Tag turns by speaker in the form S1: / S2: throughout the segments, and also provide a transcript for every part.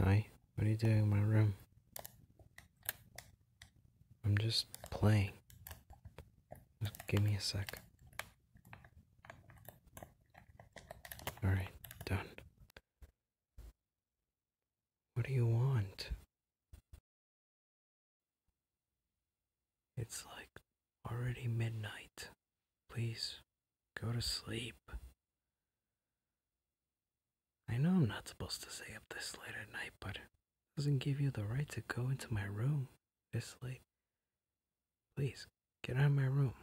S1: Hi, what are you doing in my room? I'm just playing. Just give me a sec. Alright, done. What do you want? It's like already midnight. Please Go to sleep. I know I'm not supposed to stay up this late at night, but it doesn't give you the right to go into my room this
S2: late. Please, get out of my room.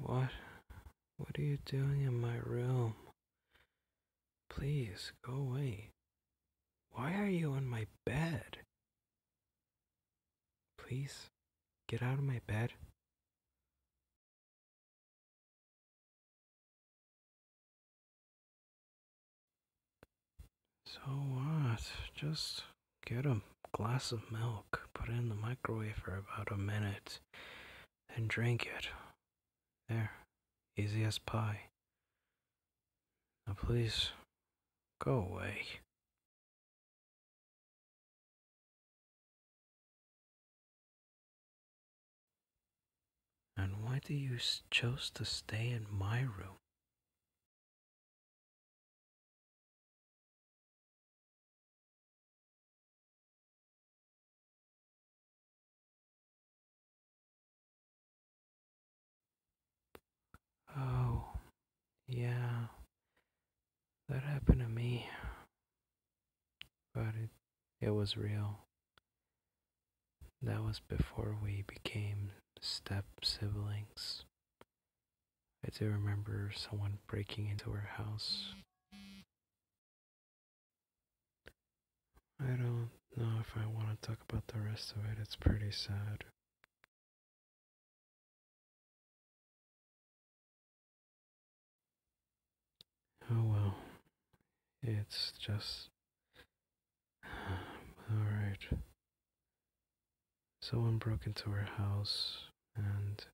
S1: What? What are you doing in my room? Please go away. Why are you on my bed? Please
S2: get out of my bed. So what? Just get a glass of milk, put it in the microwave for
S1: about a minute, and drink it. There, easy as
S2: pie please, go away. And why do you chose to stay in my room? Oh, yeah, that happened to me.
S1: But it, it was real. That was before we became step siblings. I do remember someone breaking into our house.
S2: I don't know if I want to talk about the rest of it. It's pretty sad. Oh well. It's just.
S1: Alright. Someone broke into our house and.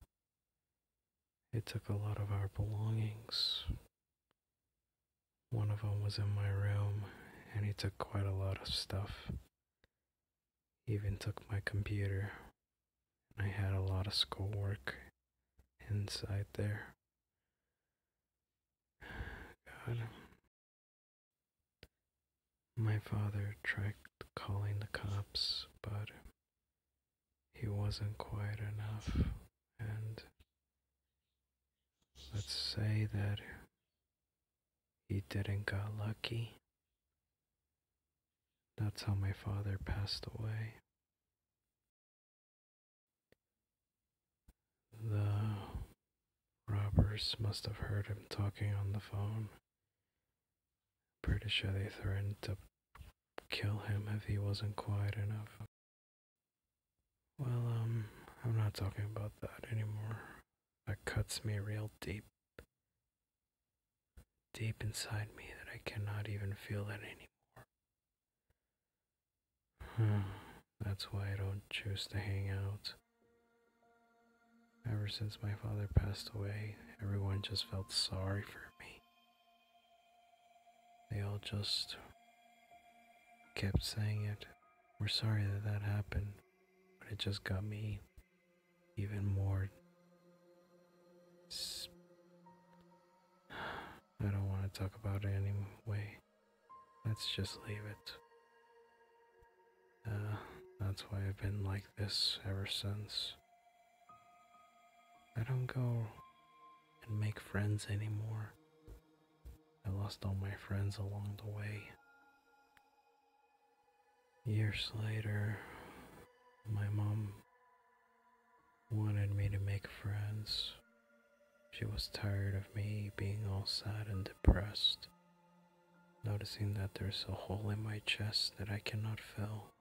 S1: It took a lot of our belongings. One of them was in my room, and he took quite a lot of stuff. even took my computer. I had a lot of schoolwork inside there. God. My father tried calling the cops, but he wasn't quite enough. And let's say that he didn't got lucky. That's how my father passed away. The robbers must have heard him talking on the phone. Pretty sure they threatened to kill him if he wasn't quiet enough. Well, um, I'm not talking about that anymore. That cuts me real deep. Deep inside me that I cannot even feel it anymore. Hmm. That's why I don't choose to hang out. Ever since my father passed away, everyone just felt sorry for me. They all just kept saying it. We're sorry that that happened, but it just got me even more. I don't want to talk about it anyway. Let's just leave it. Uh, that's why I've been like this ever since. I don't go and make friends anymore. I lost all my friends along the way. Years later, my mom wanted me to make friends. She was tired of me being all sad and depressed, noticing that there's a hole in my chest that I cannot fill.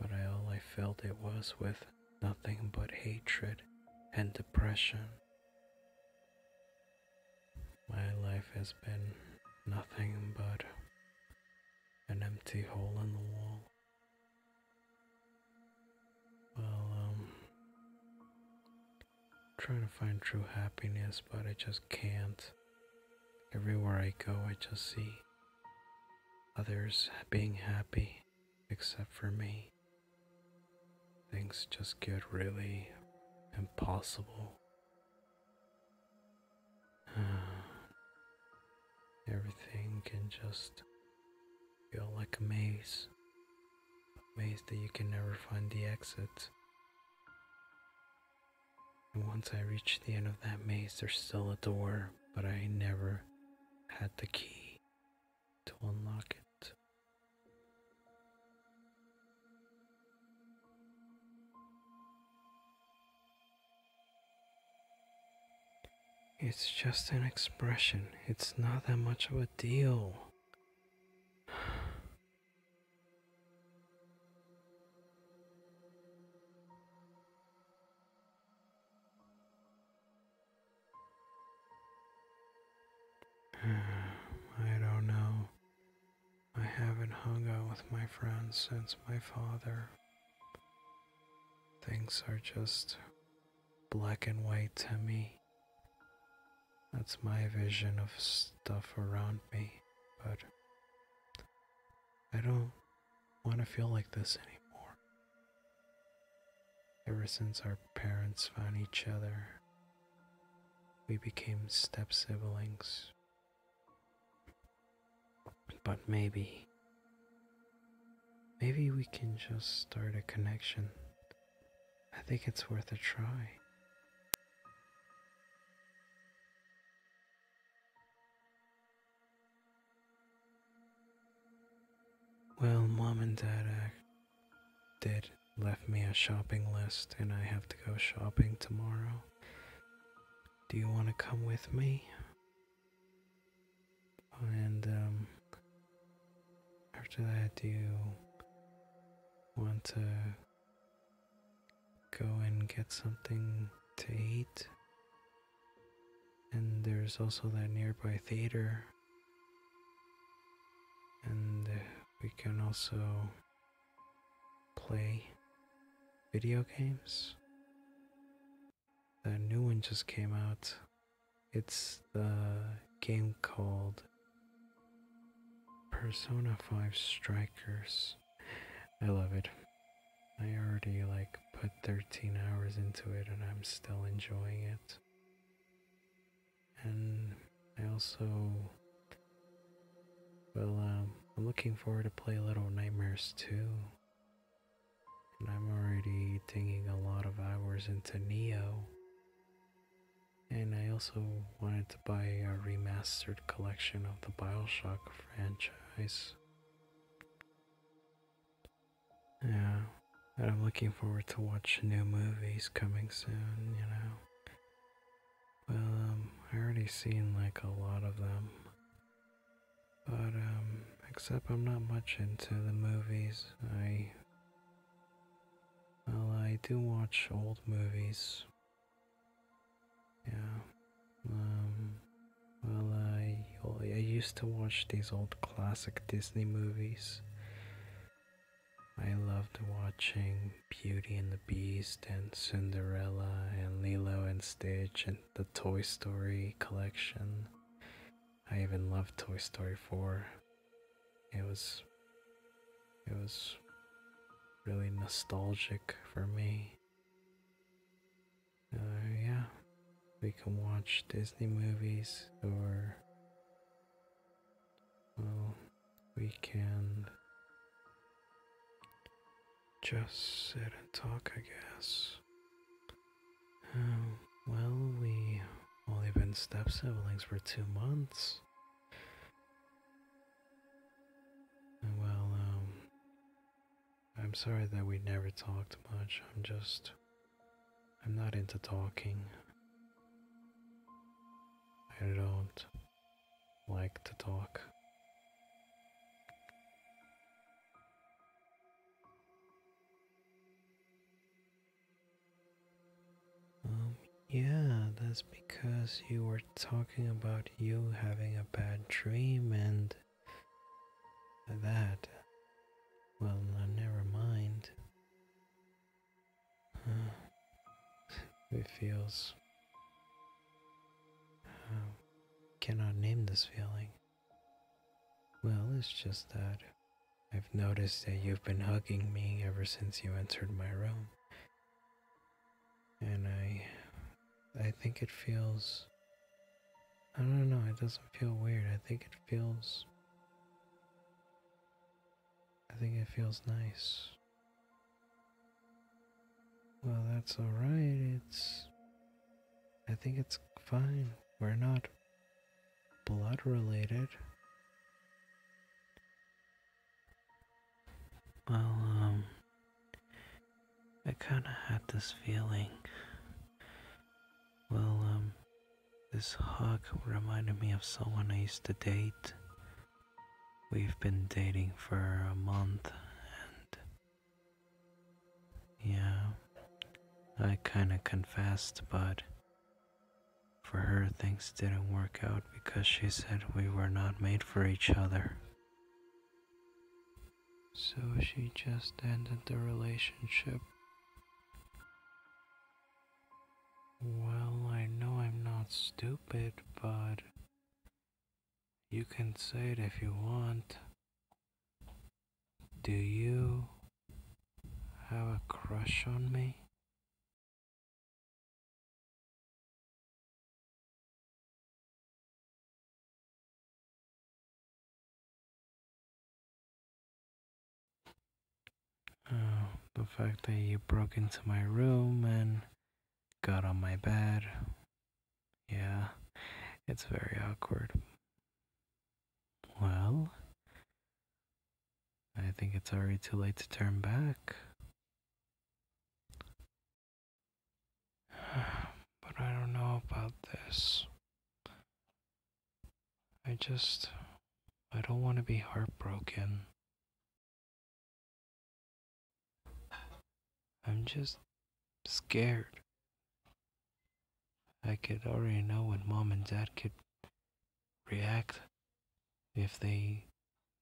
S1: But all I filled it was with nothing but hatred and depression. My life has been nothing but an empty hole in the wall. Well, um, trying to find true happiness, but I just can't. Everywhere I go, I just see others being happy except for me things just get really impossible. Everything can just feel like a maze, a maze that you can never find the exit. And once I reach the end of that maze, there's still a door, but I never had the key to unlock it. It's just an expression, it's not that much of a deal. I don't know. I haven't hung out with my friends since my father. Things are just black and white to me. That's my vision of stuff around me, but I don't want to feel like this anymore. Ever since our parents found each other, we became step siblings. But maybe, maybe we can just start a connection. I think it's worth a try. Well, mom and dad act did left me a shopping list and I have to go shopping tomorrow. Do you want to come with me? And um, after that do you want to go and get something to eat? And there's also that nearby theater and uh, we can also play video games. The new one just came out. It's the game called Persona 5 Strikers. I love it. I already like put 13 hours into it and I'm still enjoying it and I also well um, I'm looking forward to play Little Nightmares too. and I'm already digging a lot of hours into Neo and I also wanted to buy a remastered collection of the Bioshock franchise yeah, I'm looking forward to watch new movies coming soon, you know. Well, um, I already seen like a lot of them. But, um, except I'm not much into the movies. I. Well, I do watch old movies. Yeah. Um, well, I, I used to watch these old classic Disney movies. I loved watching Beauty and the Beast and Cinderella and Lilo and Stitch and the Toy Story collection. I even loved Toy Story 4. It was it was really nostalgic for me. Uh, yeah, we can watch Disney movies or well, we can just sit and talk, I guess. Oh, well, we only been step siblings for two months. Well, um, I'm sorry that we never talked much. I'm just I'm not into talking. I don't like to talk. Um, yeah, that's because you were talking about you having a bad dream and that. Well, uh, never mind. It feels. Um, cannot name this feeling. Well, it's just that I've noticed that you've been hugging me ever since you entered my room. And I. I think it feels. I don't know, it doesn't feel weird. I think it feels I think it feels nice. Well, that's alright. It's. I think it's fine. We're not blood related. Well, um. I kinda had this feeling. Well, um. This hug reminded me of someone I used to date. We've been dating for a month and. Yeah, I kinda confessed, but. For her, things didn't work out because she said we were not made for each other. So she just ended the relationship. Well, I know I'm not stupid, but you can say it if you want.
S2: Do you have a crush on me? Oh, the fact that you broke into my
S1: room and got on my bed. Yeah, it's very awkward. Well, I think it's already too late to turn back. but I don't know about this. I just. I don't want to be heartbroken. I'm just scared. I could already know what mom and dad could
S2: react if they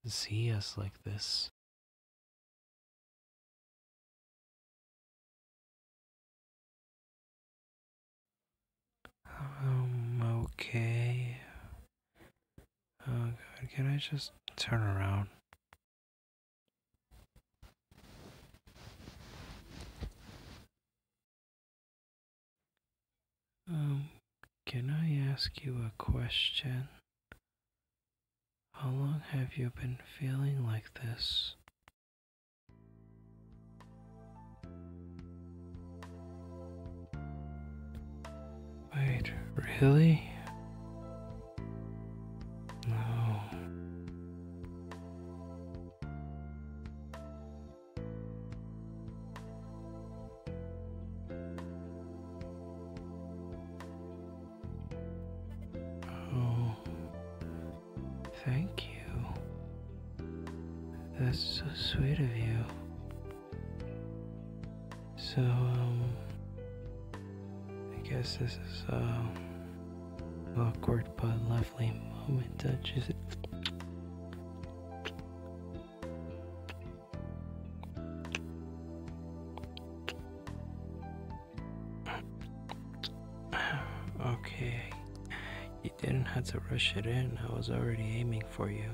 S2: see us like this. Um, okay.
S1: Oh god, can I just turn around? Um, can I ask you a question? How long have you been feeling like this? Wait, really? No. Oh. Thank you. That's so sweet of you. So, um, I guess this is a awkward but lovely moment to just okay didn't have to rush it in, I was already aiming for you.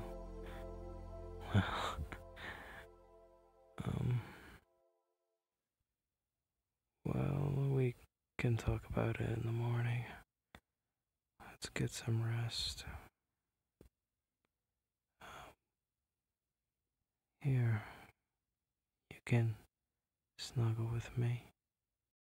S1: Well, um, well, we can talk about it in the morning. Let's get some rest.
S2: Um, here, you can snuggle with me.